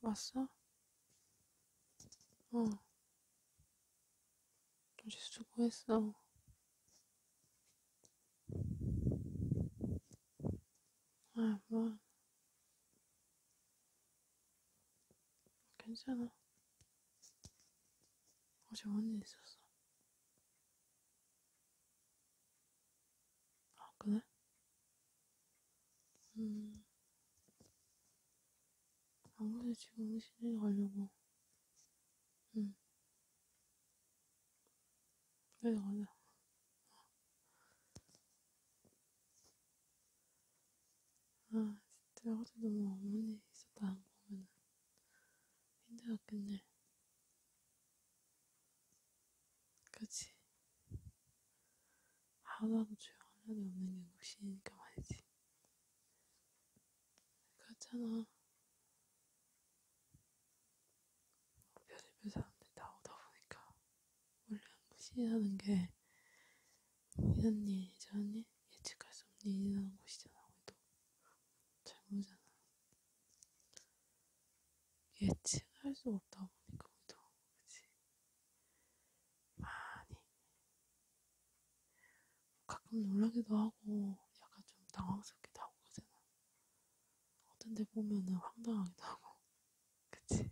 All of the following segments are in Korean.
왔어? 어. 우리 수고했어. 아, 뭐. 괜찮아. 어제 뭔일 있었어? 아, 그래? 음. 아무래도 지금 응시에 가려고. 응. 음. 그래, 가자. 아, 진짜 어제 너무 어머니 있었다 안 보면은 힘들었겠네. 그치? 하루하루 조용한 날이 없는 게 묵신이니까 말이지. 그렇잖아. 별의별 사람들이 나오다 보니까 원래 묵신이라는 게 이런일 저런일 예측할 수 없는 일이라는 것이잖아 우리도 잘 모르잖아 예측할 수 없다 보니까 우리도 그치 많이 가끔 놀라기도 하고 약간 좀 당황스럽기도 하고 그러잖아 어떤 데 보면은 황당하기도 하고 그치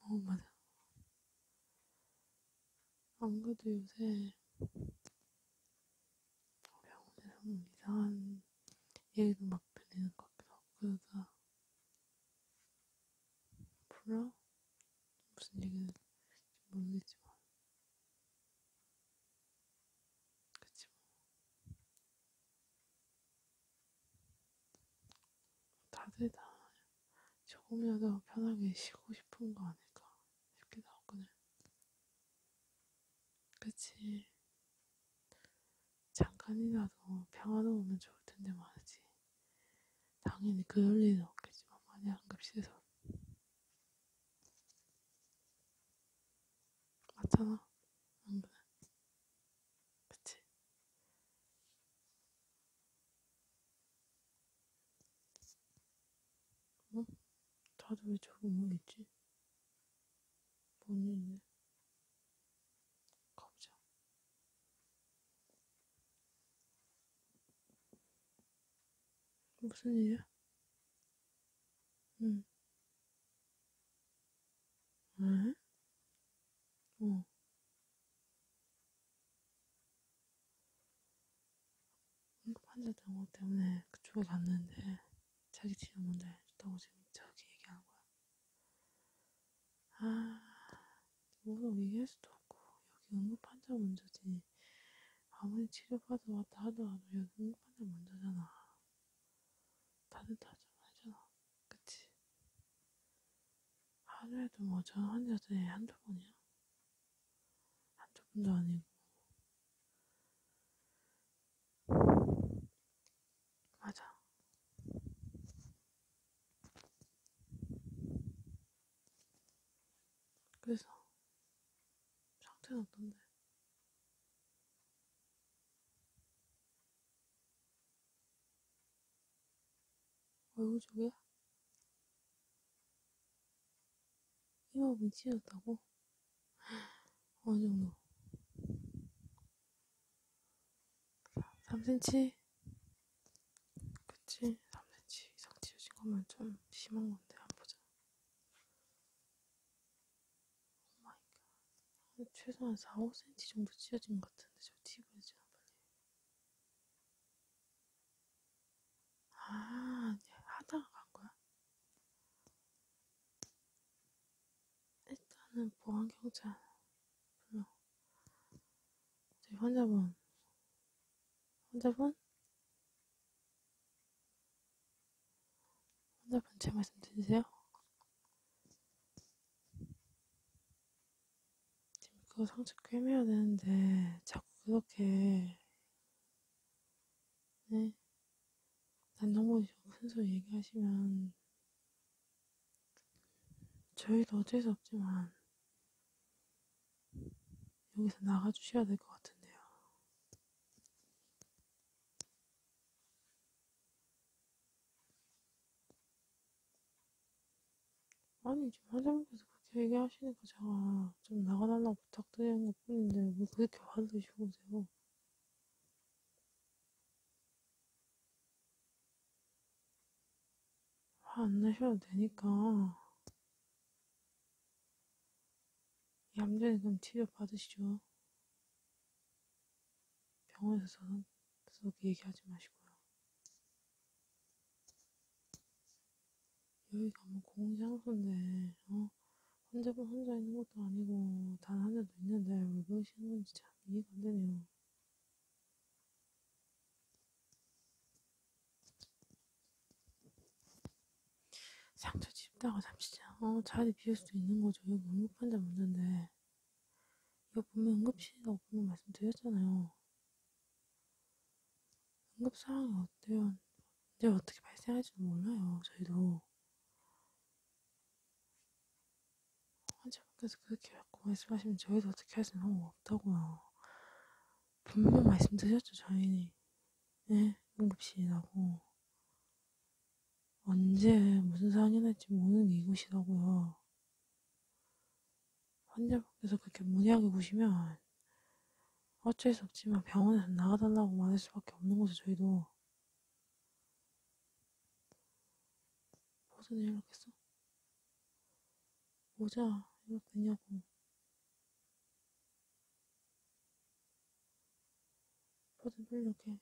어, 맞아. 안 그래도 요새 병원에서 이상한 얘기도 막 들리는 것 같기도 하고, 그러다. 몰라? 무슨 얘기인지 모르겠지만. 그치, 뭐. 다들 다 조금이라도 편하게 쉬고 싶은 거 아닐까 싶기도 하거든. 그치. 잠깐이라도 평화로우면 좋을 텐데 말이지. 당연히 그럴 일은 없겠지만, 만약 급시에서. 맞잖아. 안 그래? 그치? 응? 어? 다들 왜 저기 모여있지? 뭔 일이네? 가보자. 무슨 일이야? 응. 응? 어. 응급 환자 등호 때문에 그쪽에 갔는데 자기 치료 문제 해줬다고 지금 저기 얘기한 거야. 아, 뭐라고 얘기할 수도 없고 여기 응급 환자 문제지. 아무리 치료받아 왔다 하더라도 여기 응급 환자 문제잖아. 다들 다좀 알잖아. 그치? 하루에도 뭐 전화한 여자애 한두 번이야? 한두 번도 아니고. 맞아. 그래서 상태는 어떤데? 얼굴 쪽이야? 이마분 찢었다고? 어느 정도? 3cm? 그치? 3cm 이상 찢어진 거면 좀 심한 건데, 안 보자. 오마이갓. 최소한 4, 5cm 정도 찢어진 것 같은데, 저 팁을 좀 빨리. 아, 네. 하다가 간 거야? 일단은 보안경찰 불러. 저희 환자분. 환자분? 환자분 제 말씀 들리세요? 지금 그거 상처 꿰매야 되는데 자꾸 그렇게 네? 난 너무 큰 소리 얘기하시면 저희도 어쩔 수 없지만 여기서 나가주셔야 될 것 같은데요. 아니 지금 사장님께서 그렇게 얘기하시니까 제가 좀 나가달라고 부탁드리는 것 뿐인데 왜 뭐 그렇게 화를 내시고 오세요 화안 내셔도 되니까 얌전히 그럼 치료 받으시죠. 병원에서는 썩 얘기하지 마시고요. 여기가 뭐 공장소인데, 어? 환자분 혼자 있는 것도 아니고, 단 환자도 있는데, 왜 그러시는 건지 참 이해가 안 되네요. 상처 짚다가 잠시 어, 자리 비울 수도 있는 거죠. 여기 응급환자 문제인데. 이거 분명 응급실이라고 분명 말씀드렸잖아요. 응급 상황이 어때요? 언제 어떻게 발생할지도 몰라요. 저희도. 환자분께서 그렇게 자꾸 말씀하시면 저희도 어떻게 할 수는 없다고요. 분명 말씀드렸죠, 저희는. 네? 응급실이라고. 언제 무슨 상인할지 모르는 이곳이라고요. 환자분께서 그렇게 무리하게 보시면 어쩔 수 없지만 병원에서 나가달라고 말할 수밖에 없는 거죠, 저희도. 보선이 연락했어? 모자, 이거 되냐고. 뭐든 빨리 연락해.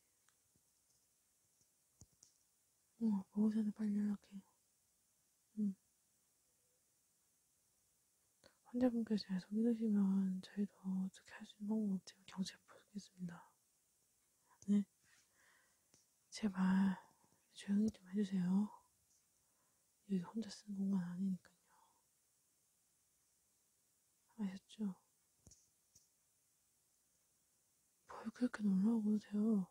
어, 먹기 전에 빨리 연락해. 응. 환자분께서 계속 힘드시면 저희도 어떻게 할 수 있는 방법 없지만 경찰 부르겠습니다. 네. 제발 조용히 좀 해주세요. 여기 혼자 쓰는 공간 아니니까요. 아셨죠? 뭘 그렇게 놀라고 그러세요?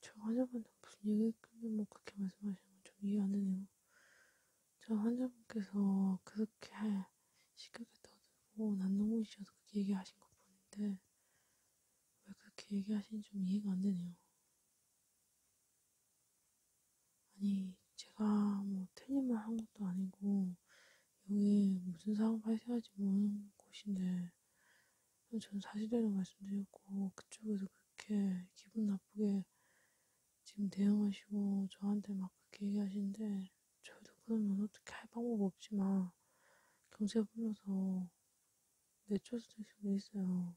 저 환자분은 무슨 얘기 끊는 뭐 그렇게 말씀하시는 건 좀 이해 안 되네요. 저 환자분께서 그렇게 식욕에 떠들고 난동이셔서 그렇게 얘기하신 거 보는데 왜 그렇게 얘기하시는지 좀 이해가 안 되네요. 아니, 제가 뭐 틀린 말한 것도 아니고, 여기 무슨 상황 발생할지 모르는 곳인데, 저는 사실대로 말씀드렸고, 그쪽에서 그렇게 기분 나쁘게 지금 대응하시고, 저한테 막 그렇게 얘기하시는데, 저도 그러면 어떻게 할 방법 없지만, 경찰 불러서 내추럴 스테이션도 있어요.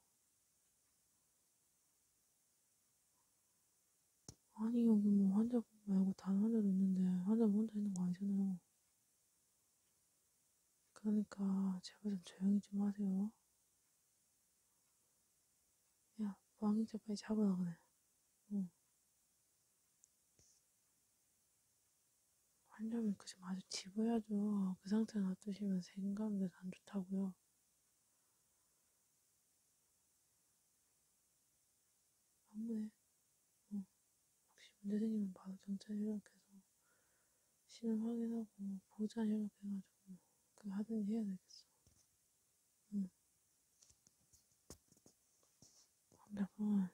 아니 여기 뭐 환자 말고 다른 환자도 있는데 환자 뭐 혼자 있는 거 아니잖아요. 그러니까 제발 좀 조용히 좀 하세요. 야, 왕이자 빨리 잡아라 그래. 응. 환절면 그지 아주 집어야죠. 그 상태 놔두시면 생감돼서 안 좋다고요. 아무래 어, 혹시 문제 생기면 바로 경찰 협력해서 신원 확인하고 보호자 협력해가지고 그거 하든지 해야 되겠어. 응. 한번 어,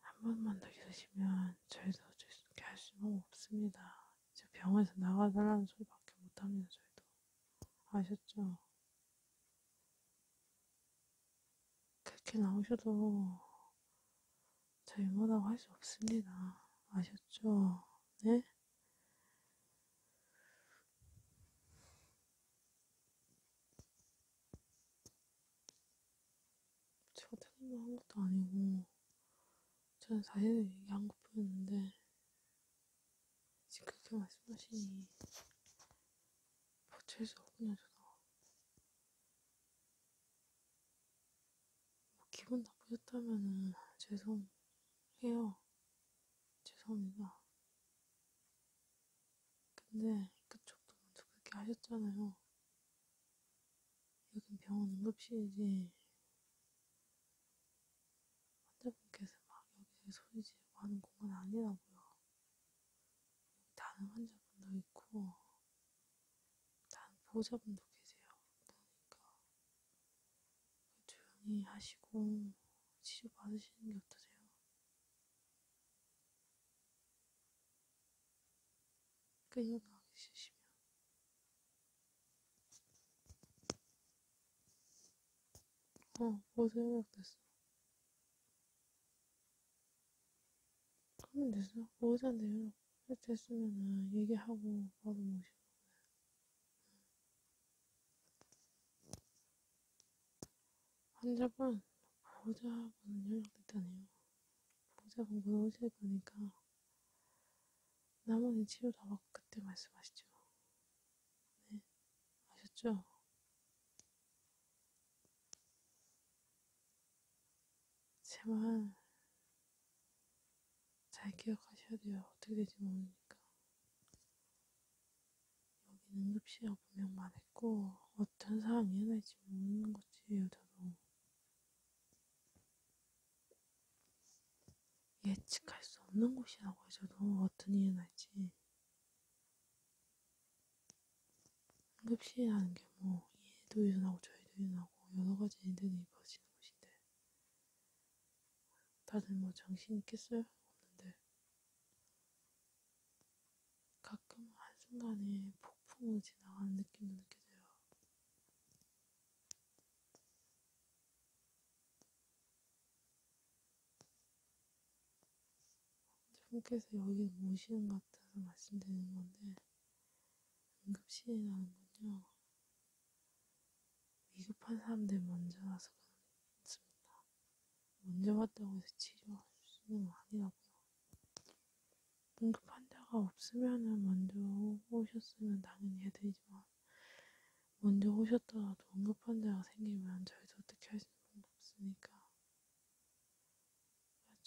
한 번만 더 기다리시면 저희도 어쩔 수 있게 할 수는 없습니다. 이제 병원에서 나가달라는 소리밖에 못합니다. 저희도 아셨죠? 그렇게 나오셔도 저희 뭐라고 할 수 없습니다. 아셨죠? 네? 제가 태닝을 한 것도 아니고 저는 사진을 얘기한 것 뿐이었는데 지금 그렇게 말씀하시니 버틸 수 없군요 저도 뭐 기분 나쁘셨다면은 죄송해요 죄송합니다 근데 그쪽도 먼저 그렇게 하셨잖아요. 여긴 병원 응급실이지. 환자분께서 막 여기저기 소리 지르고 하는 공간 아니라고요. 여기 다른 환자분도 있고, 다른 보호자분도 계세요. 그러니까 조용히 하시고 치료 받으시는 게 어떠세요? 끌려나가기 그 싫으시면 어, 벌써 협약됐어. 하면 되죠. 오전에 협약 됐으면은 얘기하고 바로 모시고. 환자분, 보호자분은 연락됐다네요. 보호자분 곧 오실 거니까 나머지 치료 다 받고 그때 말씀하시죠. 네, 아셨죠? 제발 잘 기억하셔야 돼요. 어떻게 될지 모르니까. 여기는 흡시가 분명 말했고 어떤 사람 이해할지 모르는 거지 여자도 예측할 수 없는 곳이라고 해줘도 어떤 이해할지 응급실이라는 게뭐 얘도 일어나고 저희도 일어나고 여러 가지 일들이 벌어지는 곳인데 다들 뭐 정신이 있겠어요? 없는데 가끔 한순간에 폭풍우 지나가는 느낌도 느껴져요. 선생님께서 여기 모시는 것 같아서 말씀드리는 건데, 응급실이라는건요, 위급한 사람들 먼저 와서 그렇습니다. 언제 왔다고 해서 치료할 수는 아니라고요. 응급 환자가 없으면은 먼저 오셨으면 당연히 해드리지만 먼저 오셨더라도 응급 환자가 생기면 저희도 어떻게 할수 있는 방법 없으니까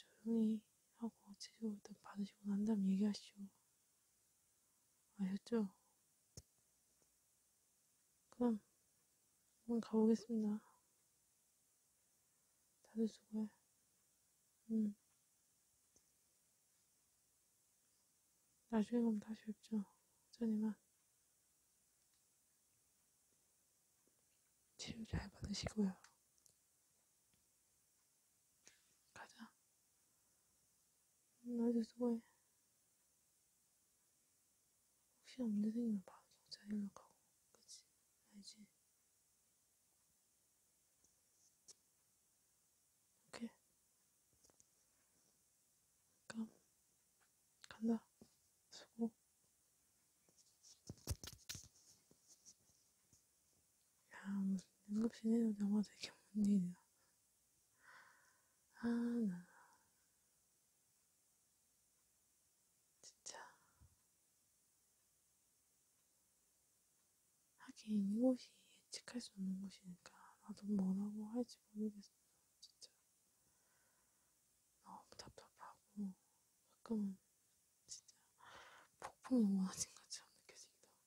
조용히 하고 치료 일단 받으시고 난 다음 얘기하시오. 아셨죠? 그럼 한번 가보겠습니다. 다들 수고해. 음. 나중에 그럼 다시 뵙죠. 전이만. 치료 잘 받으시고요. 가자. 나도 음, 수고해. 혹시 없는 생기면 바로 적자 연락하고 그치? 알지? 오케이 그럼 간다 수고 야 무슨 응급실에서 영화 되게 못 일이야 아, 나. 진짜. 하긴, 이곳이 예측할 수 없는 곳이니까, 나도 뭐라고 할지 모르겠어, 진짜. 너무 답답하고, 가끔은, 진짜, 폭풍이 원하진 것처럼 느껴지기도 하고.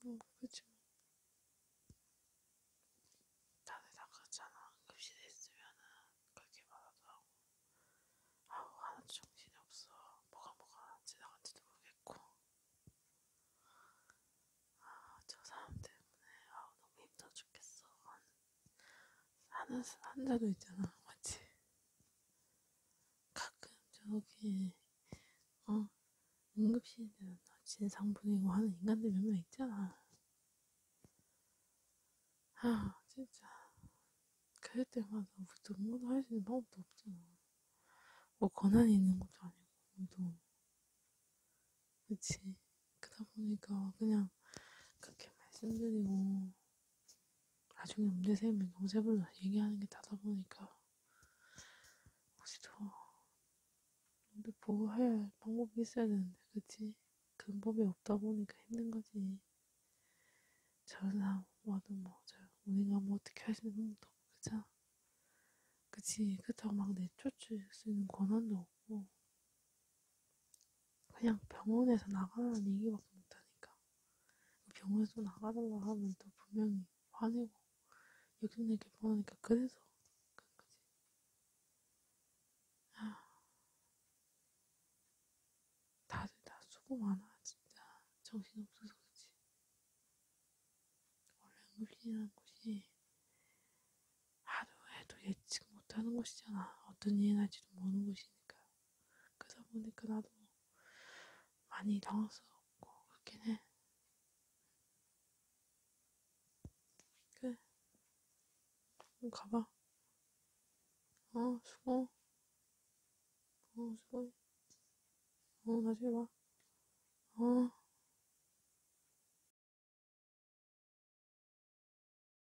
뭐 그치 다들 다 그렇잖아 급식에 있으면은 그렇게 말하도 하고 아우 하나도 정신이 없어 뭐가 뭐가 지나간지도 모르겠고 아 저 사람 때문에 아우 너무 힘들어 죽겠어 하는, 하는 환자도 있잖아 맞지? 가끔 저기 어 응급실에는 진상분이고 하는 인간들 몇 명 있잖아. 아 진짜 그럴 때마다 무슨 뭐 뭐도 할수 있는 방법도 없잖아. 뭐. 뭐 권한이 있는 것도 아니고 뭐도 그치 그러다 보니까 그냥 그렇게 말씀드리고 나중에 음대 세면 동세불로 얘기하는 게 다다 보니까 혹시 더 음대 보호할 방법이 있어야 되는데 그치? 근법이 없다 보니까 힘든 거지 저런 사람 와도 뭐저 우리가 뭐 어떻게 할 수 있는 것도 없고 그잖아 그치 그렇다고 막 내쫓을 수 있는 권한도 없고 그냥 병원에서 나가라는 얘기밖에 못하니까. 병원에서 나가달라 하면 또 분명히 화내고, 여기저기 보니까 그래서 그런 거지. 아. 다들 다 수고 많아, 진짜. 정신없어서 그렇지. 원래 응급실이라는 곳이 하루에도 예측 못하는 곳이잖아. 어떤 일이 날지도 모르는 곳이니까. 그러다 보니까 나도 많이 당황스럽고 그렇긴 해. 그래. 그럼 가봐. 어, 수고. 어, 수고해. 어, 나중에 봐. 어.